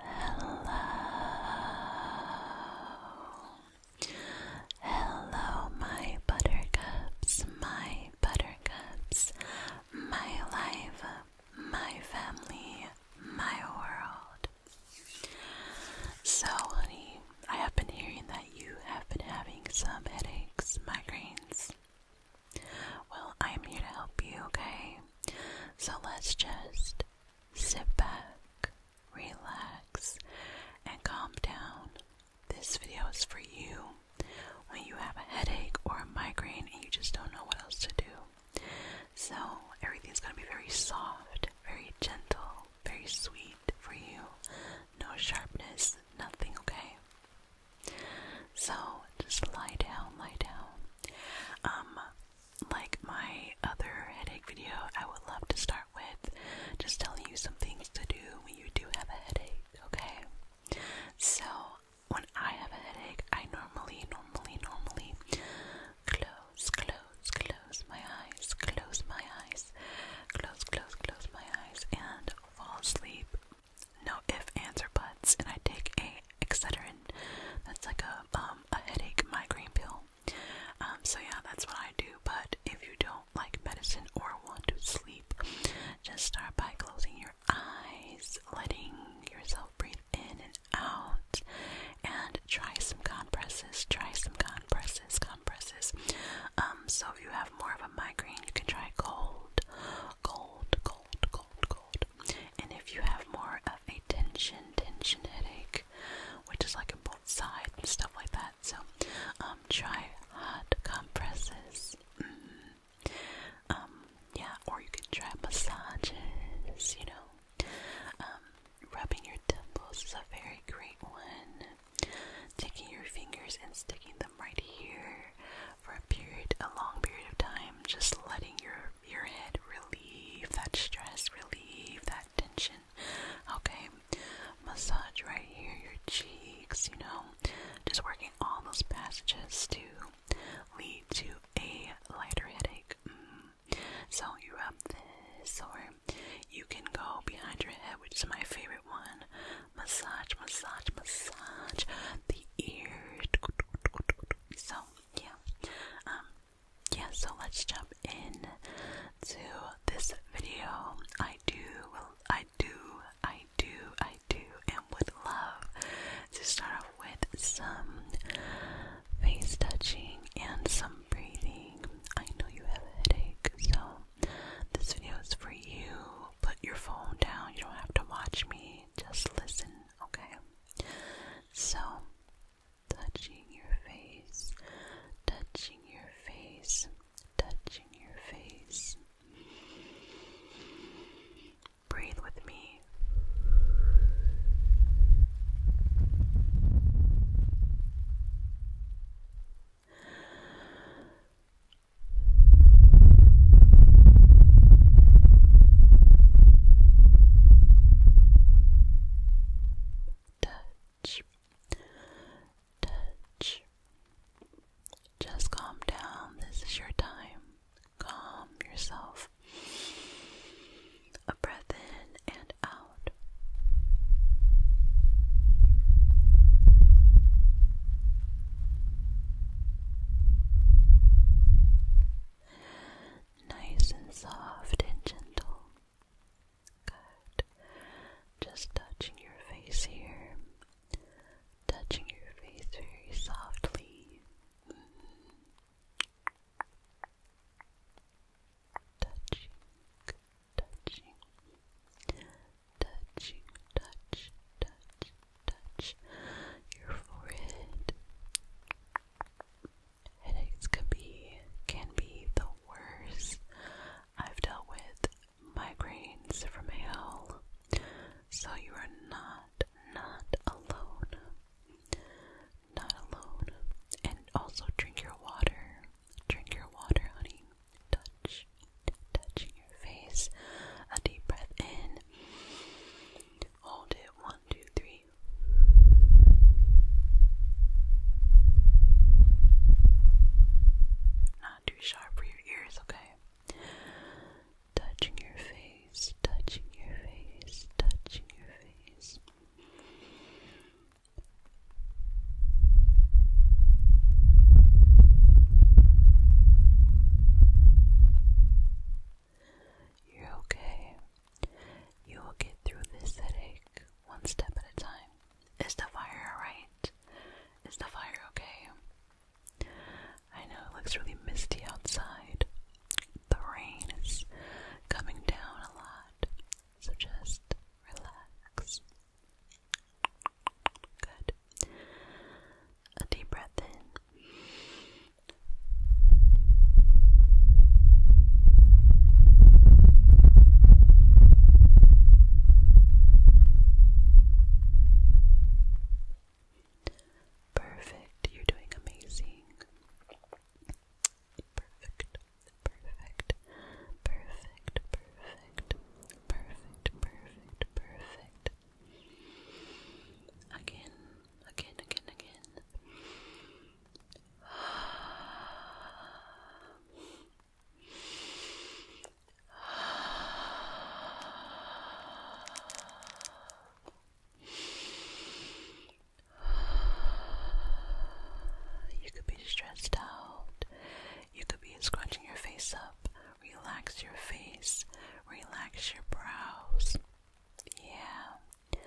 Hello, hello, my buttercups, my buttercups, my life, my family, my world. So, honey, I have been hearing that you have been having some headaches, migraines. Well, I am here to help you, okay? So let's just sit back, relax, and calm down. This video is for you when you have a headache or a migraine and you just don't know what else to do. So, everything's going to be very soft, very gentle, very sweet for you. No sharpness, nothing, okay? So just lie down, lie down. Um, like my other headache video, I would love to start with just telling you some things to do when you do have a headache, okay? So when I have a headache, I normally, normally, normally close, close, close my eyes, close my eyes, close, close, close my eyes, and fall asleep no if, ants or buts, and I take a Excedrin. That's like a um a headache migraine pill. Um, so yeah, that's what I do. But if you don't like medicine or want to sleep, just start by closing your eyes, letting yourself breathe in and out, and try some compresses. Try some compresses, compresses. Um, so if you have more of a migraine, you can try cold, cold cold, cold, cold, cold. And if you have more of a tension, tension headache, which is like in both sides and stuff like that, so um, try hot compresses. Mm -hmm. Um, yeah, or you could try massages. You know, um, rubbing your temples is a very great one. Taking your fingers and sticking them right here for a period, a long period of time, just letting your your head relieve that stress, relieve that tension. Okay, massage right here, your cheeks. You know, just working all those passages to lead to a lighter headache. Mm. So you rub this, or you can go behind your head, which is my favorite one massage, massage, massage the ears. So yeah, um, yeah. So let's jump in to this video. I do, I do, I do, I do, and would love to start off with some face touching and some breathing. I know you have a headache, so this video is for you. Put your phone down. You don't have to watch me. Just listen, okay? So, touching your face, touching your face, touching your face. Breathe with me. Touch, touch. Just calm down. This is your time. Calm yourself. A breath in and out. Nice and soft and gentle. Good. Just touching your face here. Touching your face very softly. Touching, touching, touching, touch, touch, touch your forehead. Headaches could be can be the worst. I've dealt with migraines from hell. So you are not not alone. Not alone. And also drink your water. Drink your water, honey touch, touching your face. A deep breath in. Hold it. One, two, three. Not too sharp for your ears, okay? Touching your face, touching your face, touching your face. You're okay. You will get through this headache one step at a time. Is the fire alright? Is the fire okay? I know it looks really misty outside. The rain is coming down a lot, so just relax. Good. A deep breath in. Perfect. You're doing amazing. Perfect. Perfect. Perfect. Perfect perfect, perfect, perfect. Again, again, again, again. You could be stressed out. You could be scrunching your face up, relax your face, relax your brows. Yeah.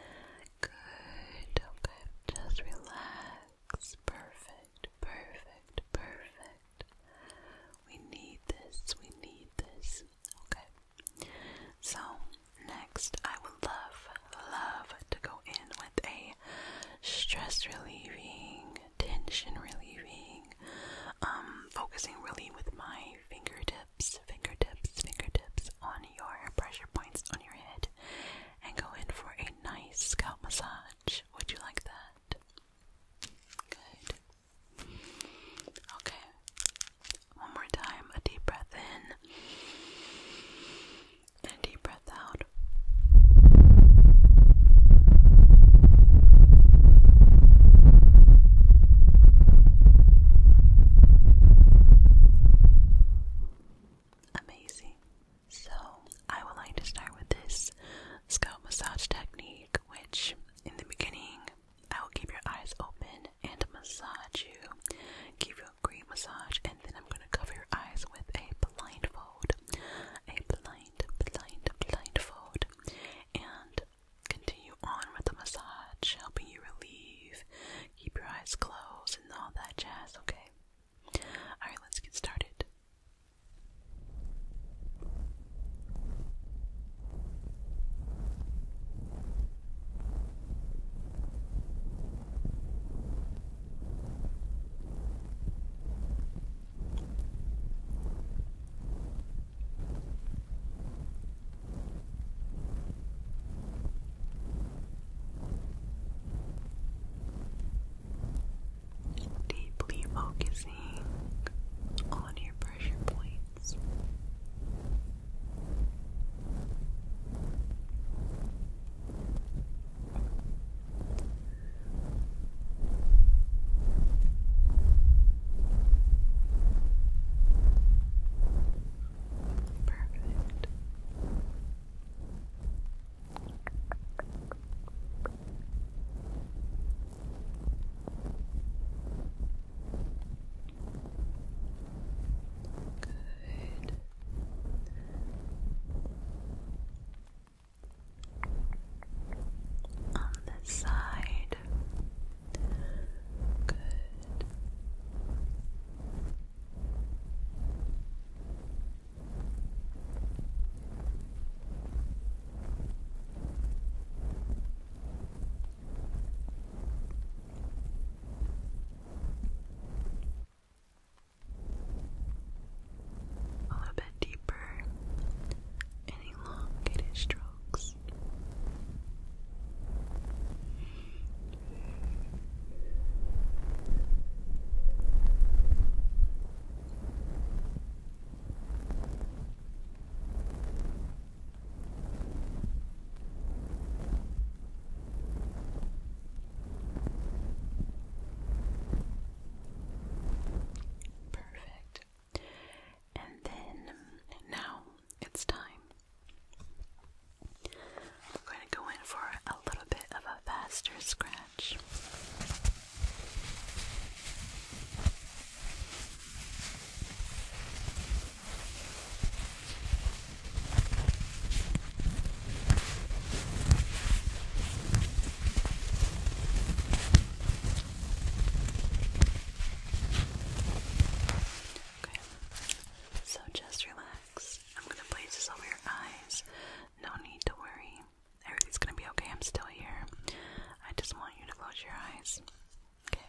Good. Okay. Just relax. Perfect. Perfect. Perfect. We need this. We need this. Okay. So, next, I would love, love to go in with a stress relieving tension relieving, um, focusing really with my fingertips, fingertips, fingertips on your pressure points on your head, and go in for a nice scalp massage. Would you like that? Good. Okay. One more time, a deep breath in and deep breath out. Amazing. So, I would like to start with this scalp massage technique, which in the beginning I will keep your eyes open and massage you, give you a great massage, and then I'm gonna cover your eyes with a blindfold, a blind, blind, blindfold, and continue on with the massage, helping you relieve, keep your eyes closed, and all that jazz, okay? Alright, let's get started. Deeply focusing on your pressure points. Perfect. Good on this side. Good a little bit deeper and elongated strokes. Perfect. And then now it's time. I'm going to go in for a little bit of a faster scratch. Okay, so just relax. I'm gonna place this over your eyes. No need to worry. Everything's gonna be okay. I'm still here. I just want you to close your eyes. Okay.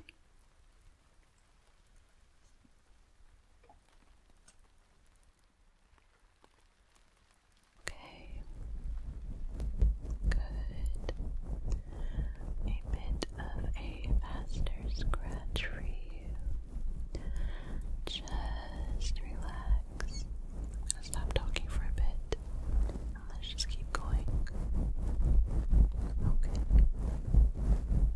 Okay. Good. A bit of a faster scratch for you. Just relax. Stop talking for a bit. let's just keep going. Okay.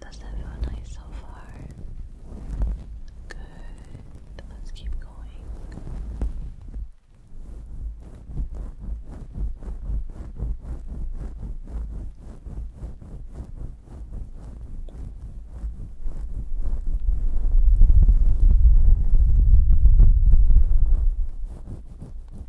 Does that feel nice so far? Good. Let's keep going.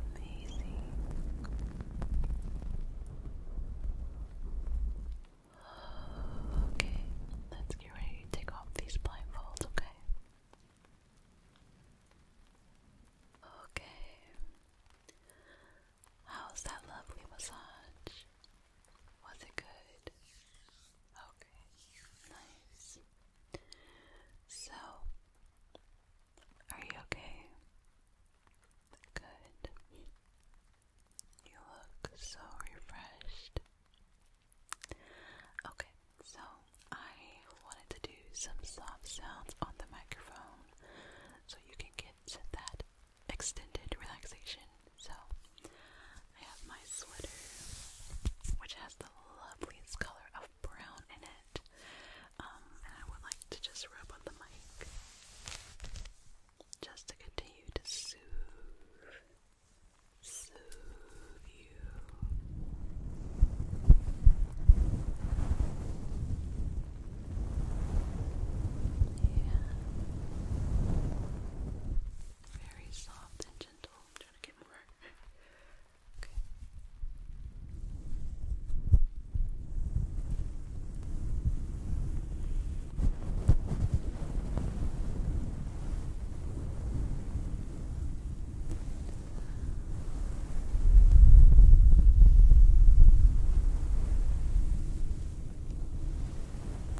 Amazing. Okay, let's get ready to take off these blindfolds, okay? Okay. How's that lovely massage? Was it good? Okay, nice. So, are you okay? Good. You look so refreshed. Okay, so I wanted to do some soft sounds on the microphone so you can get that extended relaxation so I have my sweater, which has the loveliest color of brown in it. Um, and I would like to just rub on the mic just to continue to soothe, soothe you. Yeah very soft and gentle. trying to get more. okay.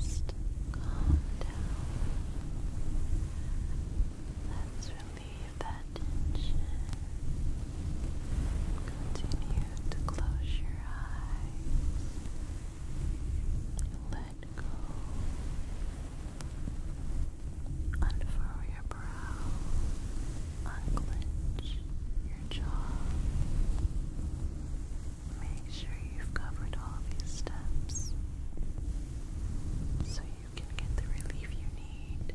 Just calm down. Let's relieve that tension. Continue to close your eyes. Let go Unfurl your brow, unclench your jaw. Make sure you've covered all these steps so you can get the relief you need.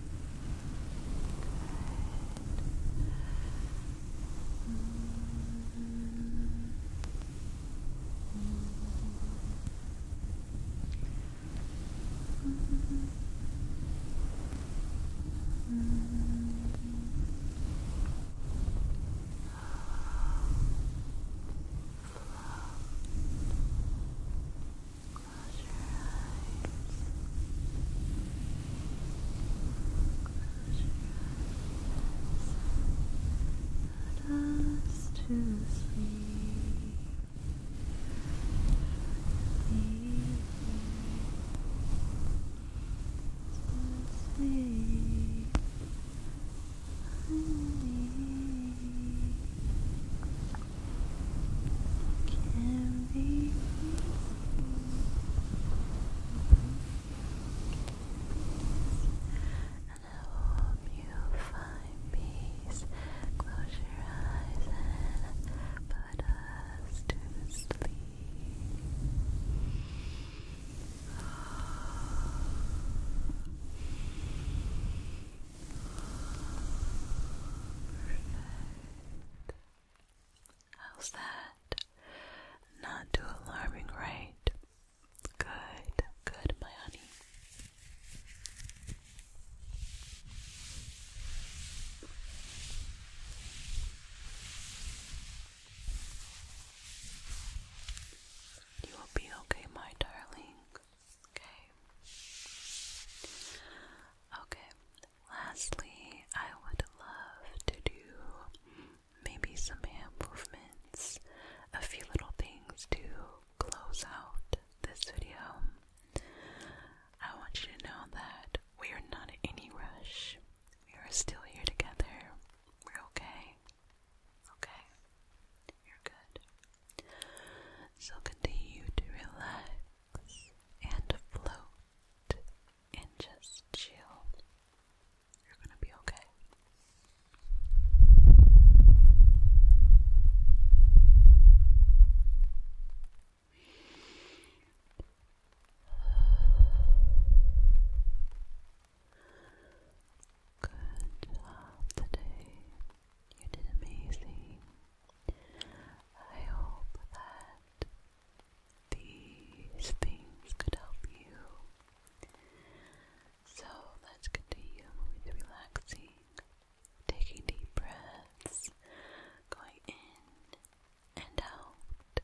Float. Close your eyes. Let us to sleep. Sleep. To sleep. Sleep. Can they be and hope you find peace. Close your eyes and put us to sleep. Perfect. How's that? Not too alarming, right? Good, good, my honey. You will be okay, my darling. Okay. Okay, Lastly, I would love to do maybe some hand movements, a few little things to close out this video. I want you to know that we are not in any rush. We are still here together. We're okay. Okay? You're good. So continue to relax and float and just chill. You're going to be okay. Good job today. You did amazing. I hope that these things could help you. So let's continue with relaxing, taking deep breaths, going in and out.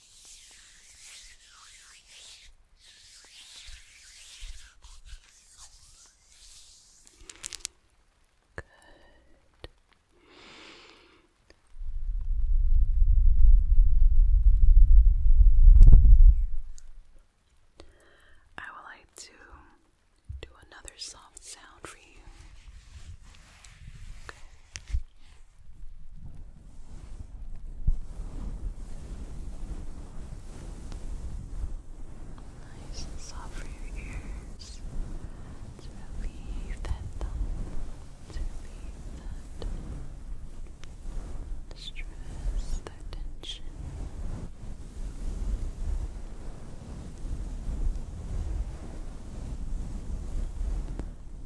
Good. I would like to do another soft sound for you. Nice and soft for your ears. To relieve that thumb. To relieve that stress, that tension.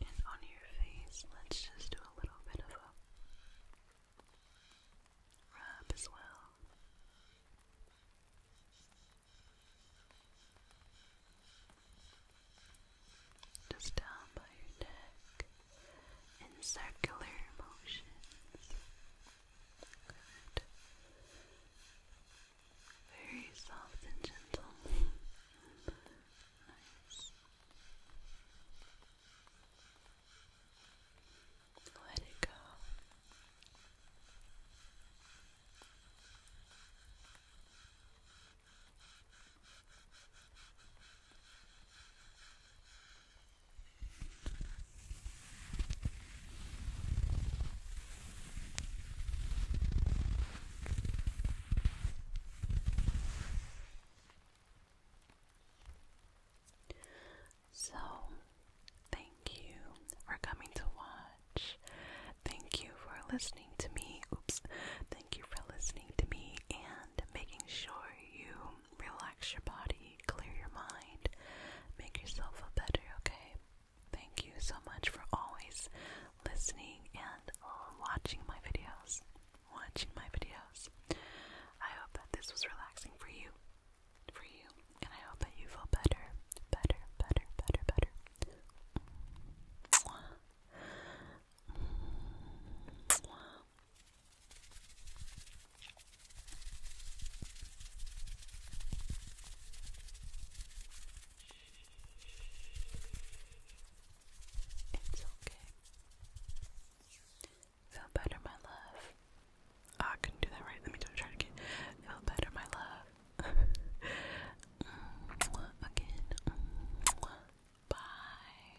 And on your face, let's just do a little bit of a rub as well. Just down by your neck in circular motions. Good. Very soft and gentle. Let it go. So, thank you for coming to watch. Thank you for listening to me. Oops. Thank you for listening to me and making sure you relax your body, clear your mind, make yourself feel better, okay? Thank you so much for always listening and watching my videos. Watching my videos. I hope that this was relaxing for you. For you. And I hope that you feel better. Better, better, better, better. It's okay. Feel better, my love. Oh, I couldn't do that right. Let me try it again. Feel better, my love. again. bye.